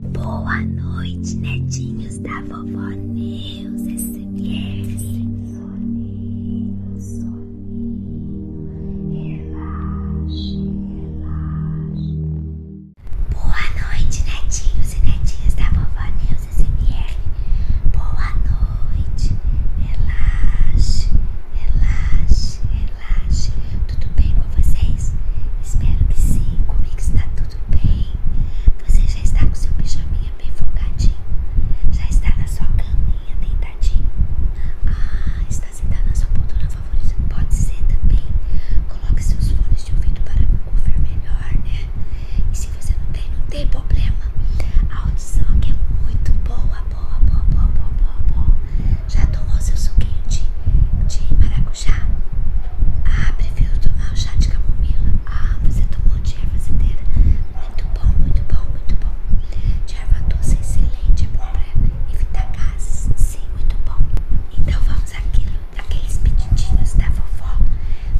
Boa noite, netinhos da vovó Neus SMR. Soninho, soninho, relaxe, relaxe. Boa noite, netinhos e netinhas da vovó Neus SMR. Boa noite, relaxe, relaxe, relaxe. Tudo bem com vocês? Espero que sim, comigo está tudo tudo bem? Você já está com seu pijaminha bem folgadinho? Já está na sua caminha deitadinho? Ah, está sentado na sua poltrona favorita? Pode ser também. Coloque seus fones de ouvido para ouvir melhor, né? E se você não tem, não tem problema. A audição aqui é muito boa, boa, boa, boa, boa, boa, boa. Já tomou seu suquinho de, de maracujá? chá? Ah, prefiro tomar o chá de camomila. Ah, você tomou de erva cedeira. Muito bom, muito bom, muito bom. De erva doce excelente, é bom para evitar gases. Sim, muito bom. Então vamos àquilo, aqueles pedidinhos da vovó.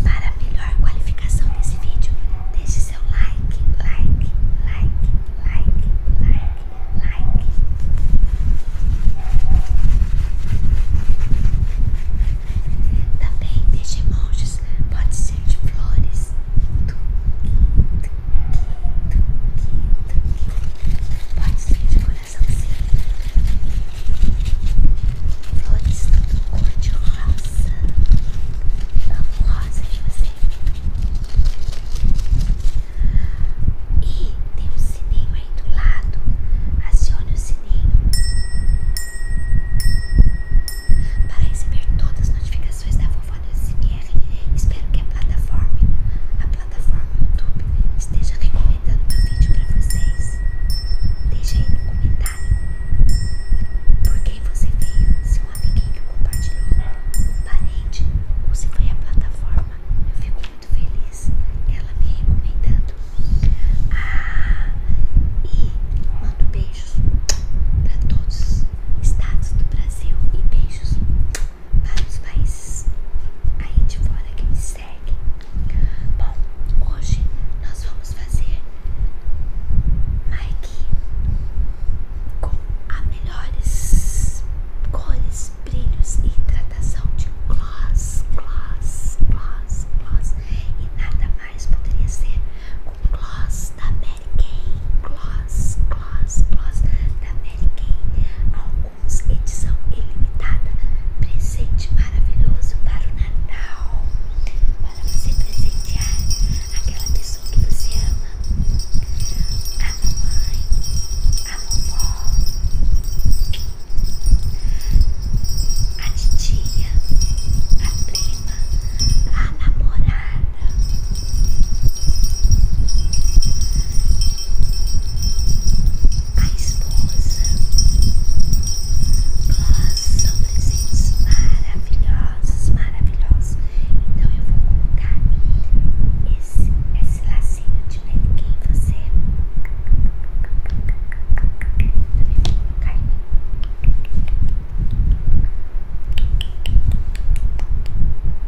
Para melhor qualificação desse vídeo, deixe seu like, like, like, like, like, like. Também desde emojis pode ser de flores. Pode ser de coraçãozinho. Flores tudo cor de rosa. Amo rosa de você. E tem um sininho aí do lado. Acione o sininho para receber todas as notificações da vovó do SMR. Espero que a plataforma, a plataforma YouTube, esteja recomendando meu vídeo para vocês. Deixe aí no comentário por quem você veio, se um amiguinho compartilhou, um parente ou se foi a plataforma. Eu fico muito feliz ela me recomendando. Ah, e mando beijos para todos os estados do Brasil e beijos para os países aí de fora que me seguem. Bom, hoje nós vamos fazer Mike com as melhores cores brilhos e hidratação de gloss, gloss, gloss, gloss e nada mais poderia ser com gloss da Mary Kay, gloss, gloss, gloss da Mary Kay, alguns edição ilimitada, presente maravilhoso para o Natal, para você presentear aquela pessoa que você ama, amo mamãe, amo vovó a tia, a prima, a namorada. A esposa, nós são presentes maravilhosos, maravilhosos. Então eu vou colocar esse, esse lacinho de quem você é.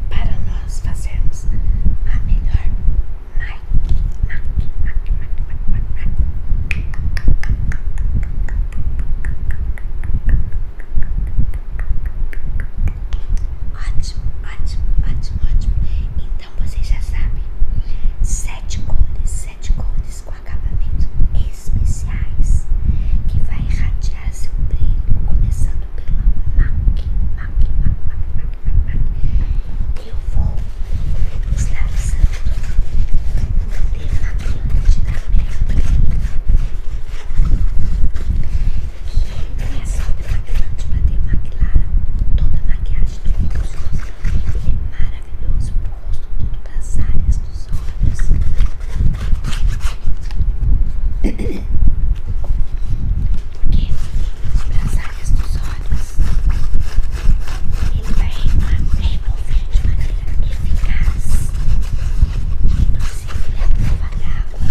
Para nós fazermos a melhor Ótimo, ótimo, ótimo, ótimo. Então vocês já sabem, sete cores, sete cores com acabamento especiais que vai irradiar seu brilho, começando pela MAC, MAC, Eu vou estar usando o demaquilante da minha que e é só demaquilante para ter demaquilar toda a maquiagem líquidos. Ele é maravilhoso para o rosto todo, para as áreas dos olhos. Porque para as áreas dos olhos, ele vai remover de maneira eficaz. Inclusive, ele é a água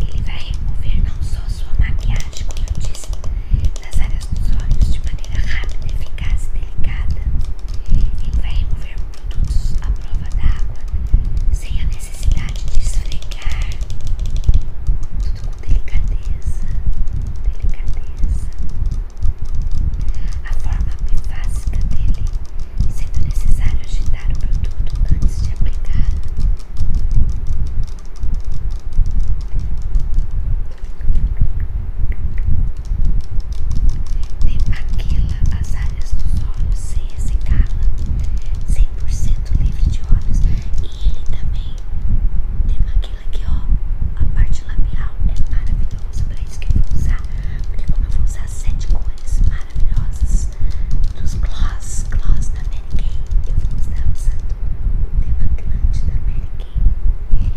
Ele vai remover não só sua maquiagem, como eu disse, das áreas dos olhos de maneira rápida, eficaz e delicada. Ele vai remover produtos à prova d'água, sem a necessidade de esfregar. Tudo com delicadeza, delicadeza. A forma mais bifásica dele sendo necessário agitar o produto antes de aplicar. Demaquila as áreas dos olhos sem ressecá 100% livre de olhos. E ele também demaquila aqui, ó. A parte labial é maravilhosa, para isso que eu vou usar. Porque, como eu vou usar sete cores maravilhosas dos gloss, gloss da Mary Kay. Eu vou estar usando o grande da Mary Kay.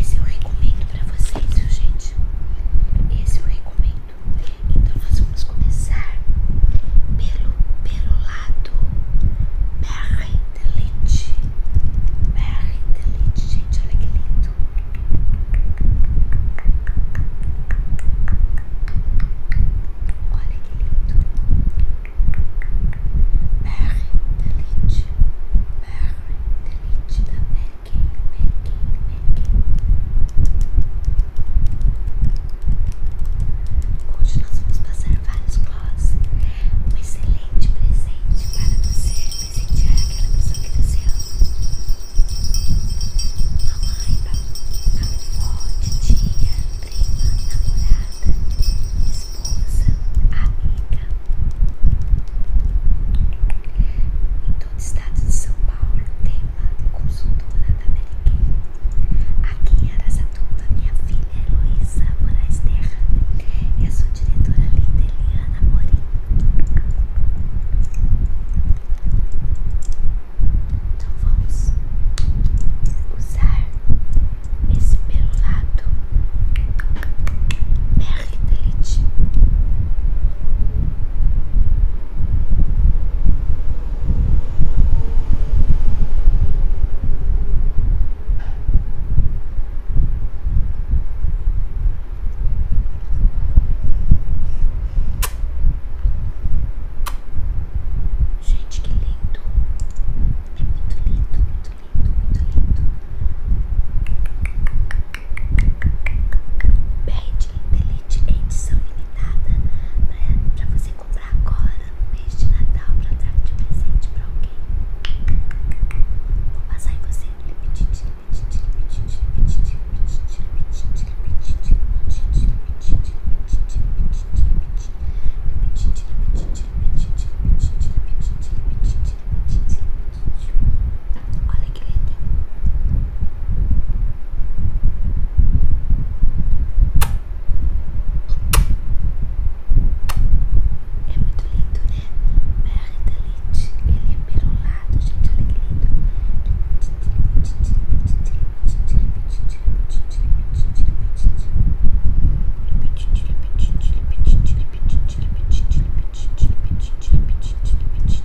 Esse eu recomendo pra vocês, gente? Esse eu recomendo então nós vamos começar pelo, pelo lado Berre de Leite. Berre de gente, olha que lindo. Olha que lindo. Berre de Leite. Berre de da América. Hoje nós vamos passar vários gloss. Um excelente presente para você presentear aquela pessoa que você ama. Mamãe, papai, tia, prima, namorada, esposa, amiga do estado de São Paulo, tema consultora da Meriquinha. Aqui em Arasatuba, minha filha Heloísa é Moraes Terra e a sua diretora linda Eliana Morim. Então vamos usar esse pelo lado Merry Delete. Gente, que lindo! É muito lindo, muito lindo, muito lindo. Bad de edição limitada né, para você comprar agora no mês de Natal para trazer de presente para alguém. Vou passar em você Limite, limite, limite, limite, limite, limite, limite, limite, limite, limite, limite, limite, limite, limite, limite, limite, Olha que linda. É muito lindo, né? Merda, Lynch. Ele é perolado, gente. Olha que lindo.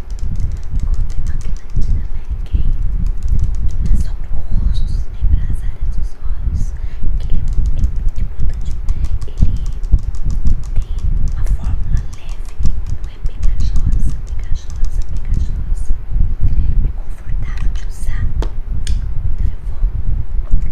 Comprei uma queratina Mary Não é só pro rosto, nem para as áreas dos olhos Que ele é muito importante Ele tem uma fórmula leve Não é pegajosa, pegajosa, pegajosa É confortável de usar Então eu vou limpar aqui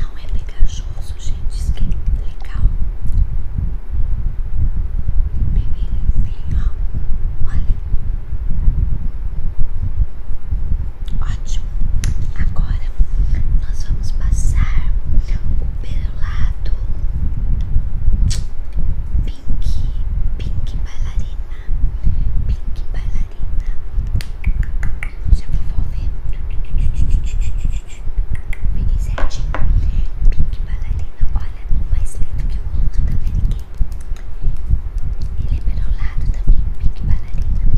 Não é pegajoso, gente. que é legal. Bem, bem, ó. Olha. Ótimo. Agora nós vamos passar o perolado pink, pink bailarina, pink bailarina linda. Já vou volver. Peguei certinho. Pink Ballerina, olha, um mais lindo que o outro também. Mary Kay. Ele é perolado também, Pink Ballerina. Esse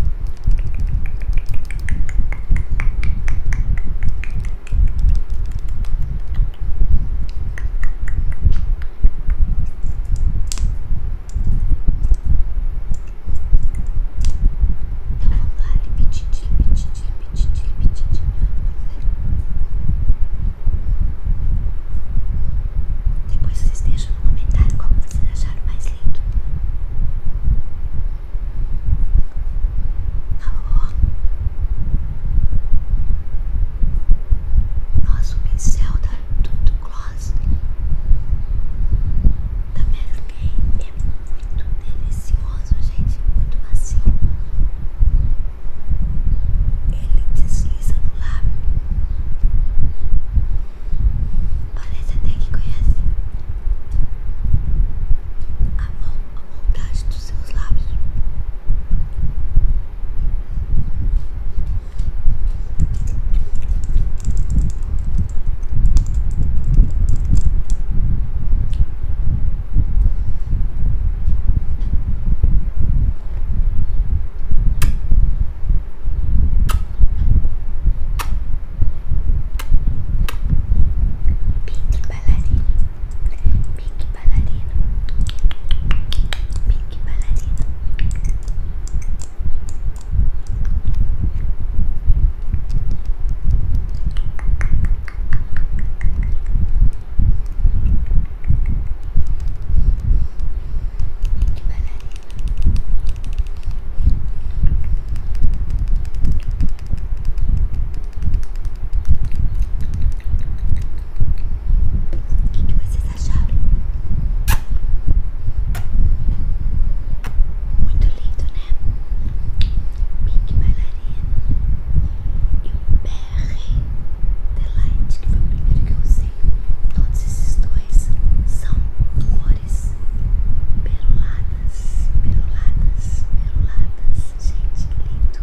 Vamos lá, repetite, repetite, repetite, repetite. Depois vocês deixam no comentário qual vocês acharam mais lindo. Alô? Tá Nossa, o pincel tá tudo glória. Tá vendo Mary Kay é muito delicioso, gente, muito macio. Ele desliza no lábio. Parece até que conhece a mão, a moldagem dos seus lábios. Pink Balarino, Pink Balarino, Pink Balarino. O que, que vocês acharam? Muito lindo, né? Pink Bailarina e o br Delight, que foi o primeiro que eu usei. Todos esses dois são cores peroladas, peroladas, peroladas. Gente, que lindo!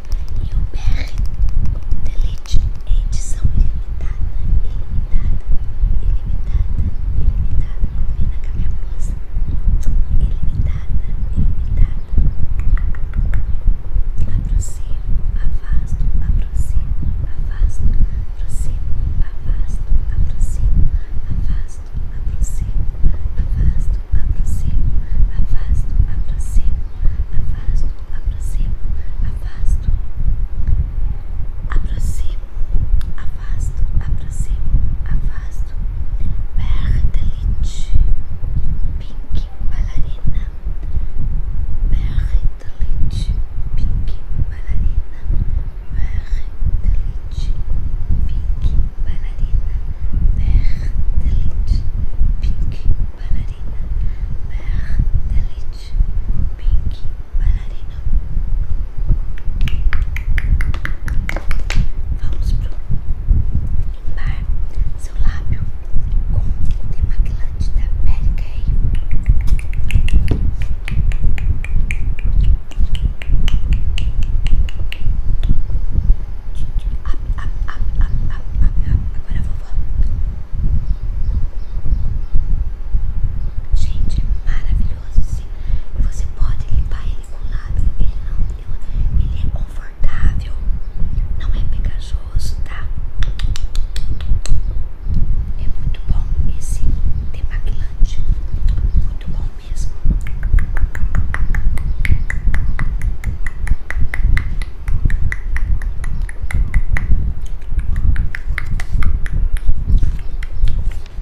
e o BR Delete edição ilimitada, ilimitada, ilimitada, ilimitada, combina com a minha blusa, ilimitada, ilimitada, aproximo, afasto, aproximo, afasto, aproximo, afasto, aproximo, afasto, aproximo, afasto, aproximo, afasto, aproximo afasto, aproximo, afasto, aproximo, afasto, aproximo, afasto, Berdelich, pink bailarina, Berdelich, pink bailarina, Berdelich, pink bailarina, Berdelich, pink Ballerina Berre de Lich Pink Ballerina Vamos pro limpar seu lábio com o demaquilante da América Up, up, up, up, up, up, up. Agora, vovó. Gente, é maravilhoso assim. Você pode limpar ele com o lábio. Ele não ele é confortável. Não é pegajoso, tá? É muito bom esse demaquilante. Muito bom mesmo.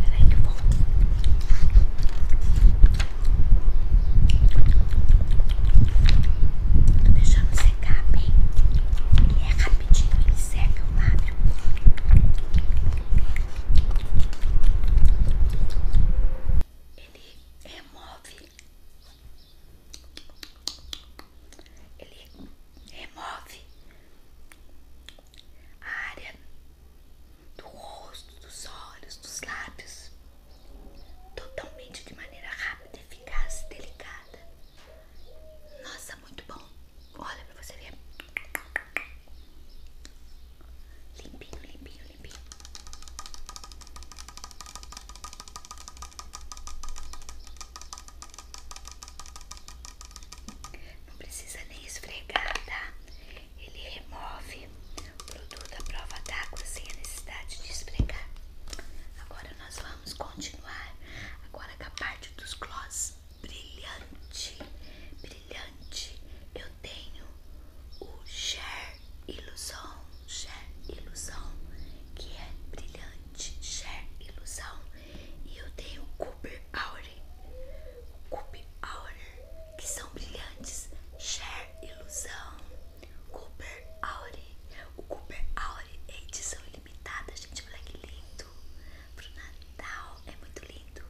Peraí que eu volto. Tô deixando secar bem. Ele é rapidinho, ele seca o lábio. Ele remove ele remove a área do rosto, dos olhos, dos lábios, totalmente de maneira rápida, eficaz e delicada. Nossa, muito bom. Olha pra você ver. Limpinho, limpinho, limpinho. Não precisa nem esfregar, tá? Ele remove o produto à prova d'água sem a necessidade de esfregar. Agora nós vamos continuar agora com a parte dos gloss brilhante, brilhante. Eu tenho o Cher ilusão, Cher ilusão, que é brilhante, Cher ilusão. E eu tenho Cooper Aure, Cooper Aure, que são brilhantes, Cher ilusão, Cooper Aure. O Cooper Aure é edição ilimitada, gente, olha que lindo. para o Natal é muito lindo.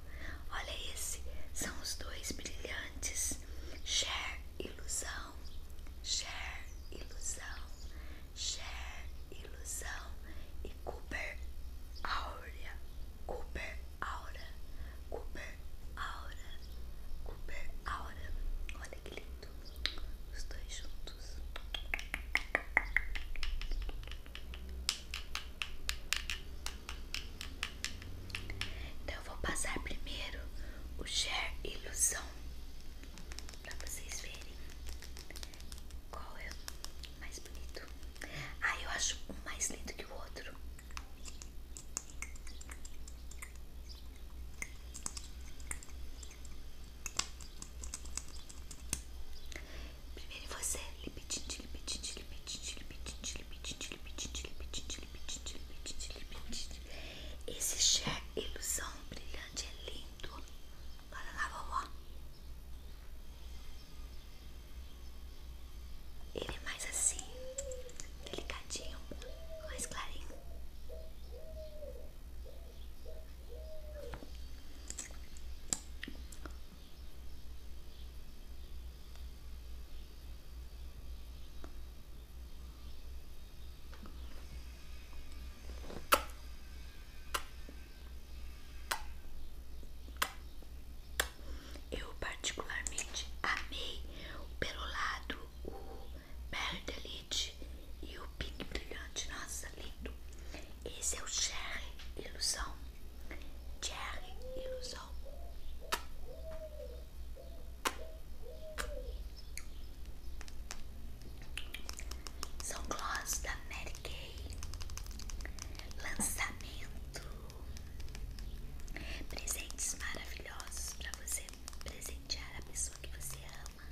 Olha esse, são os dois brilhantes, Cher ilusão ilusão, Cher, ilusão, Cher, ilusão e Cooper Aura, Cooper Aura, Cooper Aura, Cooper Aura. Olha que lindo, os dois juntos. Então eu vou passar primeiro o Cher Ilusão pra vocês verem qual é o mais bonito. Ah, eu acho um mais lindo que o outro. Primeiro você, lipitite, lipitite, lipitite, lipitite, lipitite, lipitite, lipitite, lipitite, lipitite, lipitite, esse Cher Ilusão Brilhante é lindo. Bora lá, vovó. Ele é mais assim, delicadinho, mais clarinho. Eu particularmente amei pelo lado o Perdelite e o Pink Brilhante. Nossa, lindo! Esse é o Cherry Ilusão. Cherry Ilusão. São gloss da Mary Kay. Lançamento. Presentes maravilhosos para você presentear a pessoa que você ama.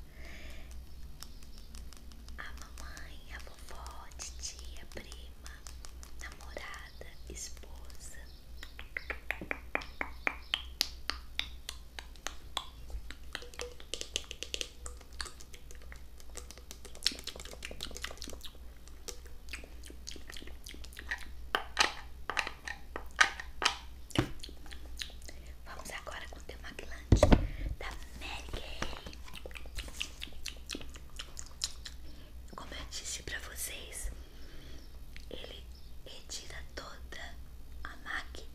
A mamãe, a vovó, a titia, a prima, a namorada, a esposa. Vamos agora com o demaglante da Mary Como eu disse para vocês, ele Retira toda a MAC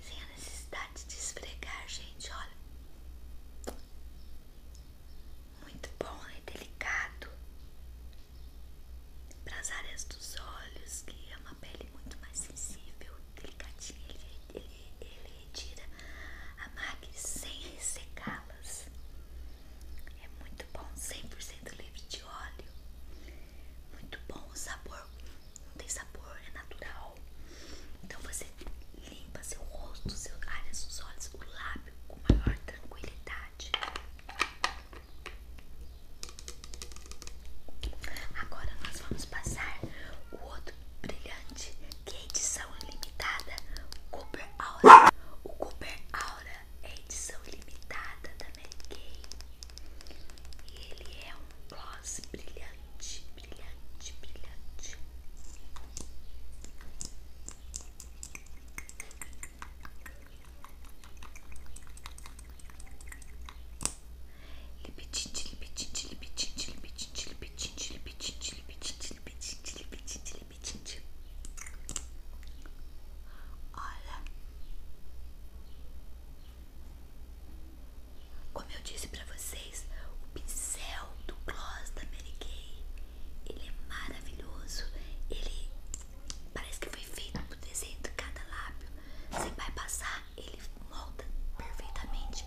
sem a necessidade de esfregar, gente. Olha, muito bom, é delicado para as áreas dos olhos, que é uma pele muito mais sensível, delicadinha. Ele, ele, ele retira a MAC sem ressecá-las. É muito bom, 100% livre de óleo. Muito bom o sabor não tem sabor, é natural. Então você limpa seu rosto, seu área, seus olhos, o lábio com maior tranquilidade. Agora nós vamos passar o outro brilhante que é edição limitada, Cooper Aura. O Cooper Aura é edição limitada da Mary Kay ele é um gloss brilhante, brilhante, brilhante. Lipitinte, lipitinte, lipitinte, lipitinte, lipitinte, lipitinte, lipitinte, lipitinte, lipitinte, lipitinte. Olha. Como eu disse pra vocês, o pincel do gloss da Mary Kay, ele é maravilhoso. Ele parece que foi feito pro desenho de cada lábio. Você vai passar, ele molda perfeitamente.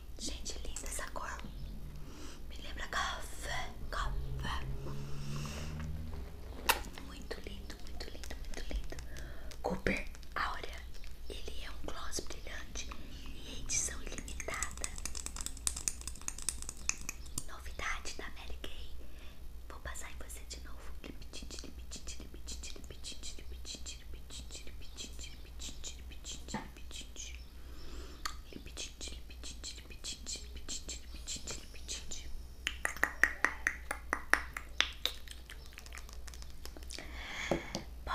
Gente, linda essa cor. Me lembra café, café. Muito lindo, muito lindo, muito lindo. Cooper Áurea. Ele é um gloss brilhante e edição ilimitada. Novidade da Mary Kay. Vou passar em você de novo. Lipitite, lipitite, lipitite, lipitite, lipitite, lipitite, lipitite, Bom,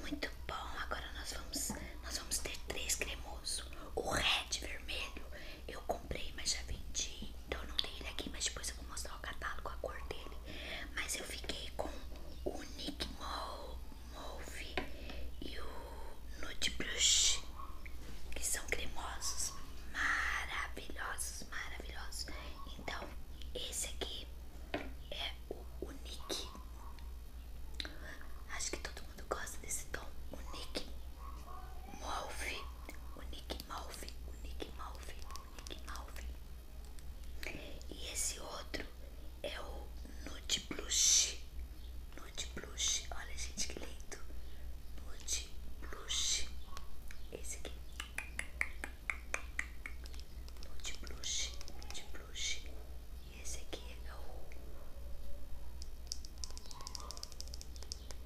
muito bom. Agora nós vamos, nós vamos ter três cremoso. O red vermelho eu comprei, mas já vendi. Então eu não tenho ele aqui, mas depois eu vou mostrar o catálogo, a cor dele. Mas eu fiquei com o Nick Mo Mauve e o Nude Brush, que são cremosos, maravilhosos, maravilhosos. Então, esse aqui é o Unique. Acho que todo mundo gosta desse tom, Unique Mauve, Unique Mauve, Unique Mauve, Unique Mauve. E esse outro é o Nude Blush. Nude Blush. Olha, gente, que lindo. Nude Blush. Esse aqui. Nude Blush. Nude Blush. E esse aqui é o...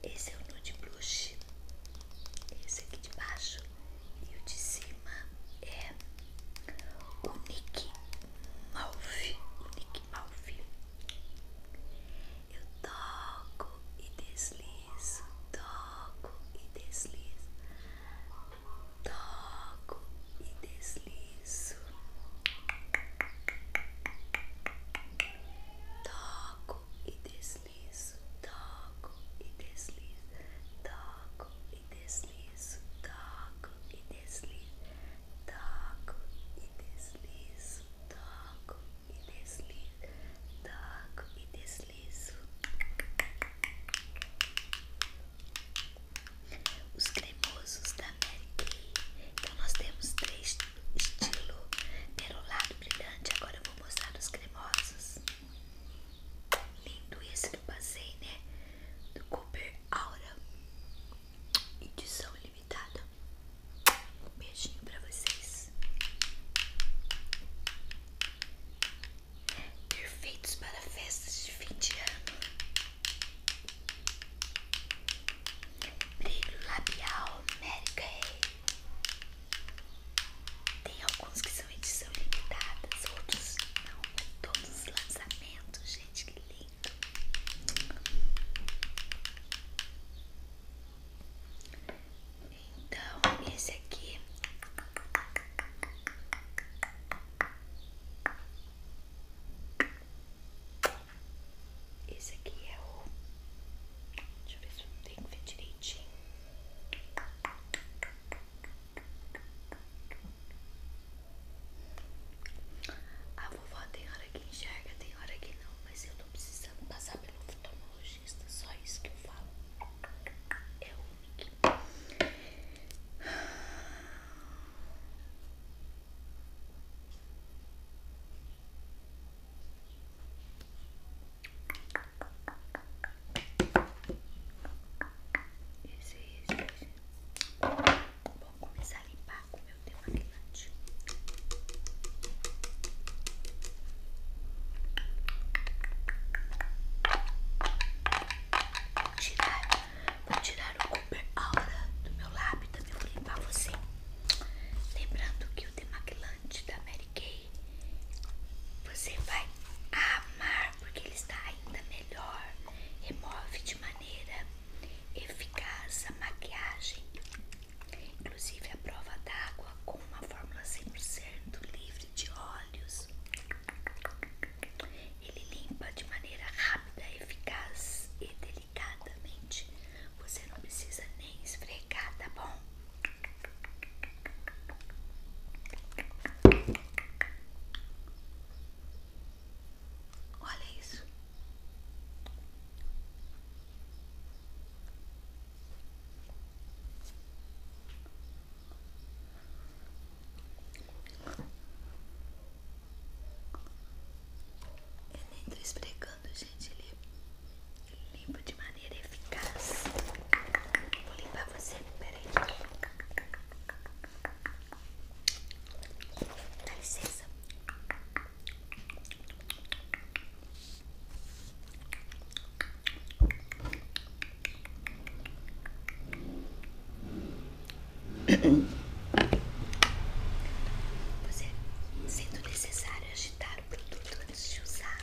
Esse é o Nude Blush. Esse aqui de baixo e o de cima é o Nick Malfi. Nick Malfi. Eu toco e deslizo, toco e deslizo, toco e deslizo, toco e deslizo, toco e deslizo, toco e deslizo, toco e deslizo, toco e deslizo, toco e deslizo, toco e deslizo. Os cremosos da Mary Kay. Então nós temos três estilo perolado brilhante. Agora eu vou mostrar os cremosos. Lindo esse que eu passei, né? Do Cooper Aura. Edição limitada. um Beijinho pra vocês. Perfeitos para festas de fim de ano. Brilho labial Mary Tem alguns que são são edição limitadas, outros não, todos os lançamentos, gente, que lindo. Então, esse aqui esse aqui é o. Deixa eu ver se eu tenho que ver direitinho. A vovó tem hora que enxerga, tem hora que não, mas eu tô precisando passar pelo oftalmologista, só isso que eu falo. É o único. Isso, isso, isso. Vou começar a limpar com o meu demaquilante. Vou tirar, vou tirar o Cooper Aura do meu lábio também vou limpar você. Lembrando que o demaquilante da Mary Kay você vai amar porque ele está ainda melhor remove de maneira eficaz a maquiagem, inclusive à prova d'água com uma fórmula 100% livre de óleos. Ele limpa de maneira rápida, eficaz e delicadamente. Você não precisa nem esfregar, tá bom? Olha isso. Eu nem tô esfregando, gente. Ele limpa de maneira eficaz. Vou limpar você. Peraí. Dá licença. Você, sendo necessário agitar o produto antes de usá-lo.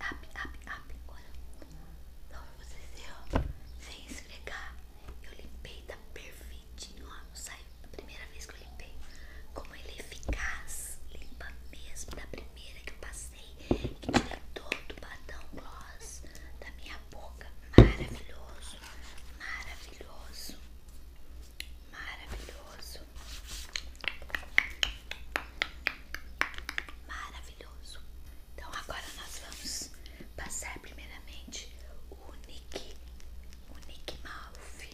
up, up, up, agora. Olha, então você ó, sem esfregar. Eu limpei tá perfeitinho, ó. Não saiu da primeira vez que eu limpei. Como ele é eficaz, limpa mesmo. Da primeira que eu passei, que tirei todo o batom gloss da minha boca. Maravilhoso, maravilhoso. Maravilhoso, maravilhoso, então agora nós vamos passar primeiramente o Nick, o Nick Malf.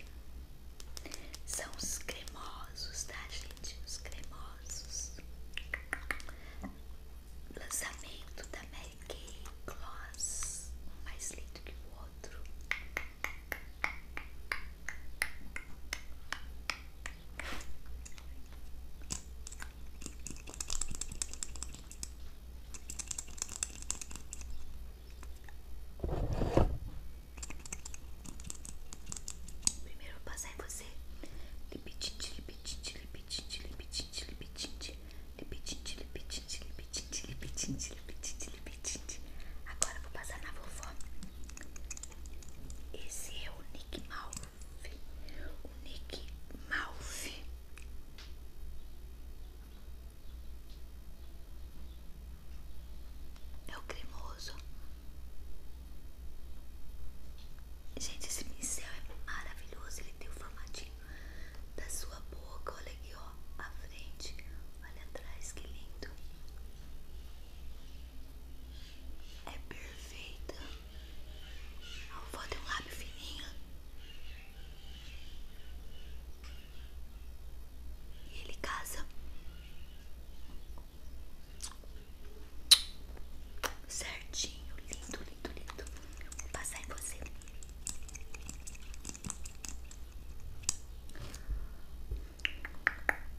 São os cremosos, tá gente? Os cremosos. Lançamento da Mary Kay Gloss, um mais lindo que o outro. Primeiro vou passar em você Lipitite, lipitite, lipitite, lipitite, lipitite Lipitite, lipitite, lipitite, lipitite, lipitite, lipitite Agora eu vou passar na vovó Esse é o Nick Mauro o Nick Malfi. É o cremoso. Gente, esse pincel é maravilhoso. Ele tem o formatinho da sua boca. Olha aqui, ó. A frente. Olha atrás, que lindo é perfeita. Eu vou ter um lábio fininho. E ele casa certinho, lindo, lindo, lindo. Vou passar em você.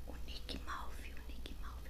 O Nick Malve, o Nick Malve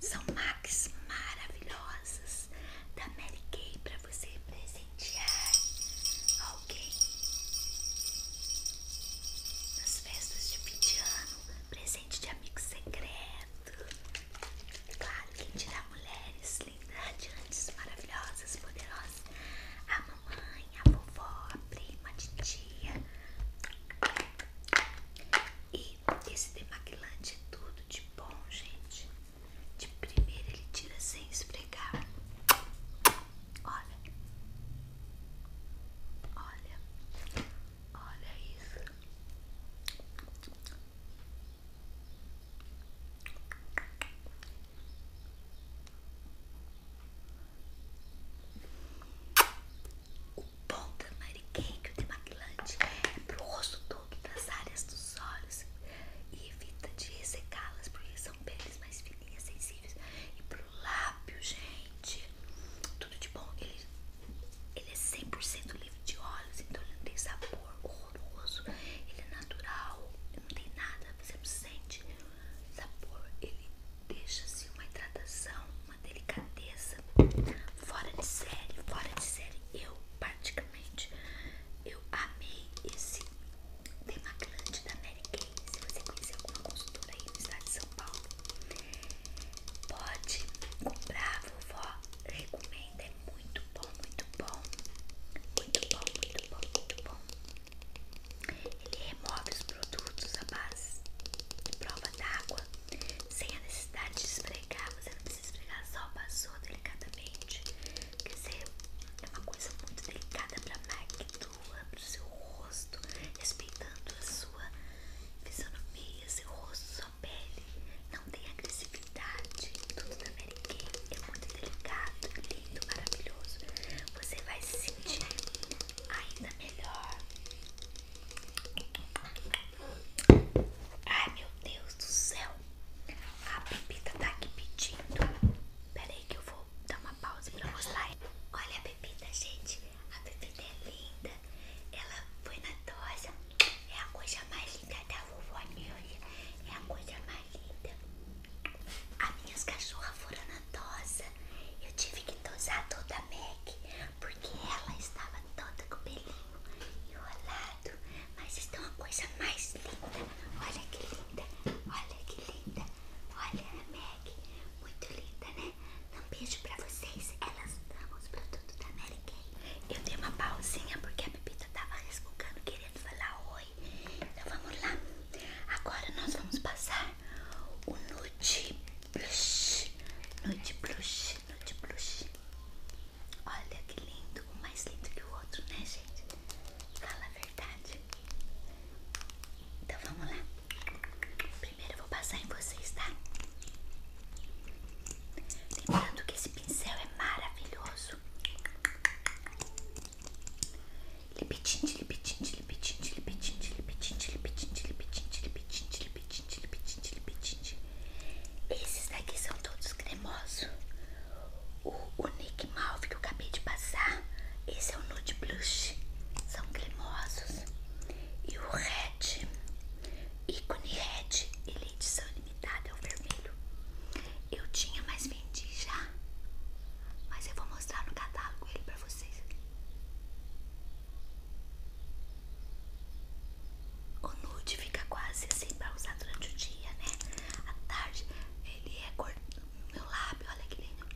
São mags maravilhosas da Mary Kay para você presentear alguém nas festas de fim presente de amigo secreto. Claro, quem tirar mulheres lindas, radiantes, maravilhosas, poderosas a mamãe, a vovó, a prima, a titia. E esse demaquilante é tudo de bom, gente. De primeira ele tira sem esfregar. Olha, olha, olha isso. O pó da Mary Cake, o demaquilante, é pro rosto todo, das áreas dos olhos e evita de ressecá-las porque são peles mais fininhas, sensíveis. E pro lábio, gente, tudo de bom. Ele, ele é 100% livre de óleos, então ele não tem sabor horroroso, ele é natural, não tem nada, você não sente sabor ele deixa-se assim, uma hidratação, uma delicadeza fora de série, fora de série. Eu praticamente eu amei esse demaglante da Mary Kay. Se você conhecer alguma consultora aí no estado de São Paulo, pode comprar, vovó recomenda, é muito bom, muito bom, muito bom, muito bom, muito bom. Ele remove os produtos à base de prova d'água sem a necessidade de esfregar. Você não precisa esfregar, só passou delicadamente. Quer dizer, é uma coisa muito delicada para a máquina, para o seu rosto, respeitando a sua fisionomia, seu rosto, sua pele. Não tem agressividade. Tudo da Mary Kay é muito delicado lindo, maravilhoso. Você vai se sentir ainda melhor. Ai meu Deus do céu! A bebida tá aqui pedindo. Pera aí que eu vou dar uma pausa pra mostrar. Olha a bebida, gente. A bebida é linda. Ela foi na tosa. É a coisa mais linda da vovó Nilda. É a coisa mais Ai, linda. As minhas cachorras foram na tosa. Eu tive que tosar toda a Mac, porque ela estava toda com o pelinho enrolado. Mas está é uma coisa mais linda. Olha que linda. Olha que linda. Olha a Mac. Muito linda, né? Um beijo pra vocês. Elas amam os produtos da Mary Eu dei uma pausinha porque a bebida tava resmungando, querendo falar oi. Então vamos lá. Agora nós vamos passar o nude blush. Nude blush, nude blush. Olha que lindo, um mais lindo que o outro, né, gente? Fala a verdade. Então vamos lá. Primeiro eu vou passar em vocês, tá? Lembrando que esse pincel é maravilhoso. Esses daqui são todos cremosos. O, o Nick Malve que eu acabei de passar, esse é o Nude Blush. São cremosos. E o Red, ícone Red, ele é edição limitada, é o vermelho. Eu tinha, mas já, mas eu vou mostrar no catálogo ele pra vocês. O nude fica quase assim pra usar durante o dia, né? À tarde ele é cor meu lábio, olha que lindo.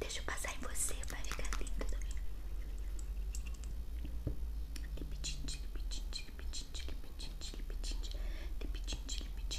Deixa eu passar em você, vai ficar lindo também. Lipitinho, lipitinho, lipitinho, lipitinho, lipitinho, lipitinho, lipitinho,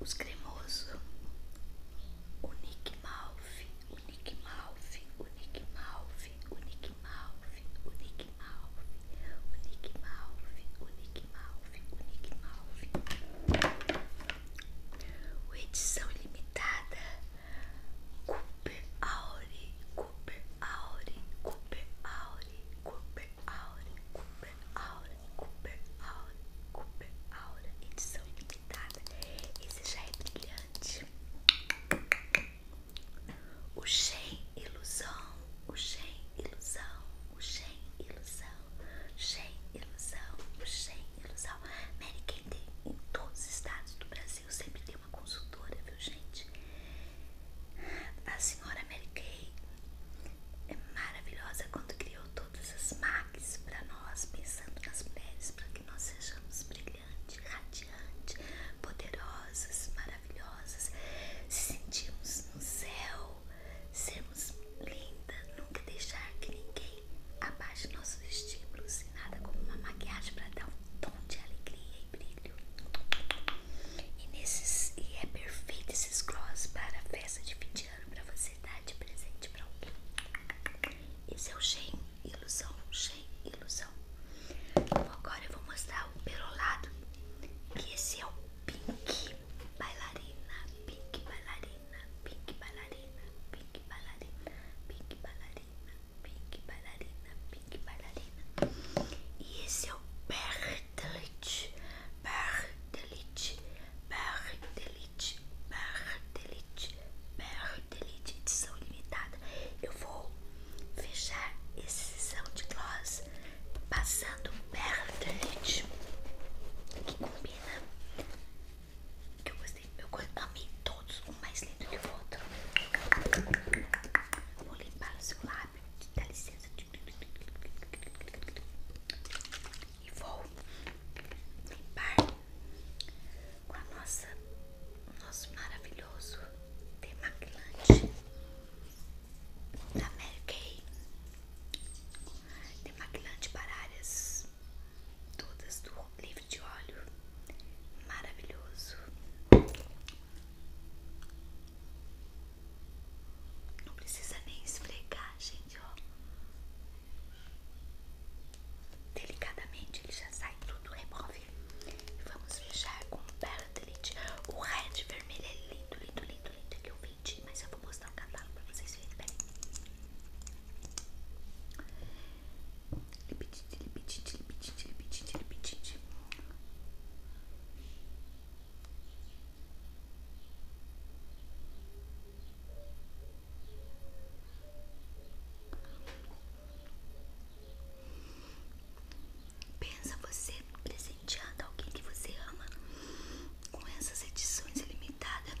Os cremosos. O Nick Malve, o Nick Malve, o Nick Malve, o Nick Malve, o Nick Malve, o Nick Malve, o Nick Malve, o Nick Malve. O Nick edição limitada. Cooper Auri, Cooper Auri, Cooper Auri, Cooper Auri, Cooper Aura, Cooper Aura, Cooper Aura, edição limitada. Esse já é brilhante. O Shen Ilusão, o Shen Ilusão, o Shen Ilusão, Shen Ilusão, o Shen Ilusão. Mary Kay em todos os estados do Brasil, sempre tem uma consultora, viu gente? A senhora Mary Kay é maravilhosa quando criou todas as máquinas para nós, pensando nas mulheres, para que nós sejamos brilhantes, radiantes, poderosas, maravilhosas, se sentirmos no céu, sermos lindas, nunca deixar que ninguém abaixe nossos estímulos e nada como uma maquiagem para dar um tom de alegria e brilho. E, nesses, e é perfeito esses gloss para festa de fim de ano para você dar de presente para alguém. Esse é o Shein Ilusão, Shein Ilusão. Agora eu vou mostrar o perolado, que esse é o Pink Bailarina, Pink Bailarina, Pink Bailarina, Pink Bailarina, Pink Bailarina, Pink Bailarina, Pink Bailarina. E esse é o Perry Bardelite, Bardelite, Bardelite, Bardelite, Bardelite, edição limitada. Eu vou fechar essa sessão de gloss passando Bardelite, que combina. Que eu gostei, eu amei todos, um mais lindo que o outro. Vou limpar o seu lábio dá licença. E vou limpar com a nossa, o nosso maravilhoso demaquilante da Mary Kay. Demaquilante para áreas todas do livre de óleo maravilhoso não precisa nem esfregar, gente, ó. Delicadamente ele já sai tudo, remove. E vamos fechar com Perlite. O red vermelho é lindo, lindo, lindo, lindo. Que eu vendi, mas eu vou mostrar o um catálogo pra vocês verem. Peraí. Lipitite, lipitite, lipitite, lipitite, lipitite. Pensa você presenteando alguém que você ama com essas edições limitadas?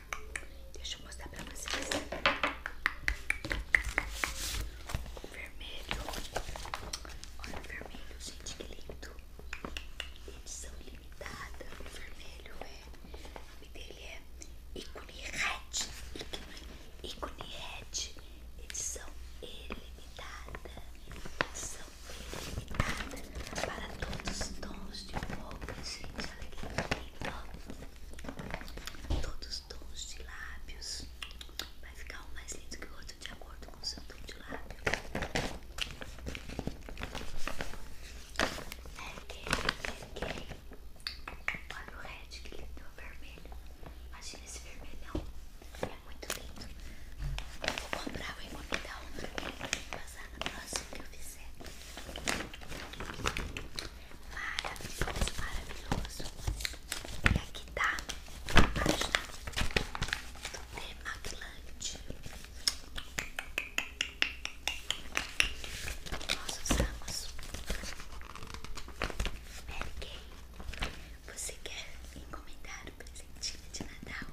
Deixa eu mostrar pra vocês. O vermelho. Olha o vermelho, gente, que lindo. Edição limitada. O vermelho é. O nome dele é icone red. icone red. Edição ilimitada. Edição ilimitada. Para todos os tons de roupa, gente. Olha que lindo todos os tons de lábios. Vai ficar um mais lindo que o outro de acordo com o seu tom de lábio. Merguei, ok Olha o red que lindo, é o vermelho. Imagina esse vermelhão. É muito lindo. vou comprar, o encomendar um pra mim passar na próxima que eu fizer. Maravilhoso, maravilhoso. E aqui tá a página do demaquilante. Nós usamos Mary Kay. Você quer encomendar um presentinho de Natal?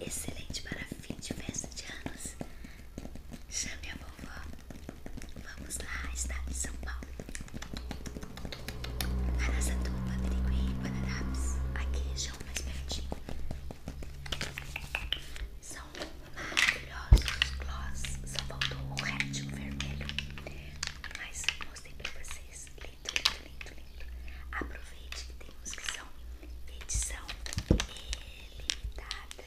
Excelente para fim de festa de anos. Chame a vovó. Vamos lá, estado de São Paulo. a nossa Aracatuba, Birigui, Guararapes. Aqui, região mais pertinho. São maravilhosos gloss. Só faltou o rédio vermelho. Mas mostrei para vocês. Lindo, lindo, lindo, lindo. Aproveite que tem uns que são edição limitada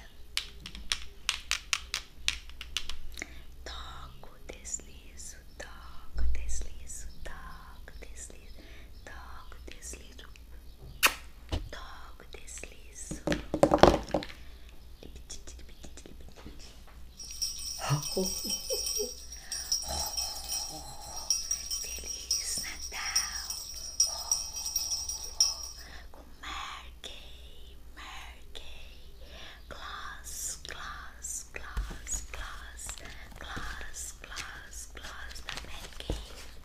Toco, deslizo, toco, deslizo, toco, deslizo, toco, deslizo, toco, deslizo. Feliz Natal! com Merkey, Merkey, Gloss, Gloss, Gloss, Gloss, Gloss, Gloss, Gloss da Merkey,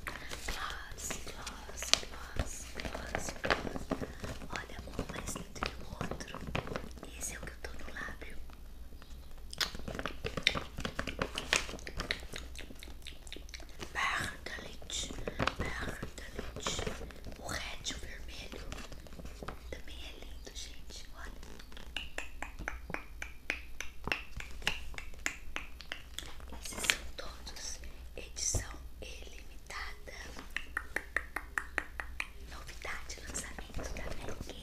Gloss, Gloss, Gloss, Gloss, Gloss. Olha um mais lindo que o outro. Esse é o que eu tô no lábio barra da leite, barra da leite. O red, vermelho, também é lindo, gente. Olha. Esses são todos edição ilimitada. Novidade, lançamento da Mary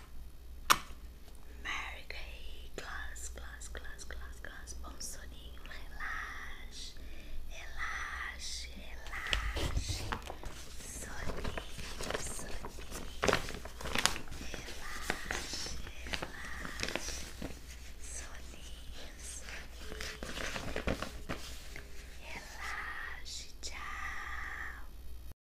Mary Kay, Glass, Glass, Glass, Glass, Glass. Bom soninho, relaxe, relaxe, relaxe. Soninho, soninho. Relaxe, relaxe. Soninho, soninho. Relaxe, tchau.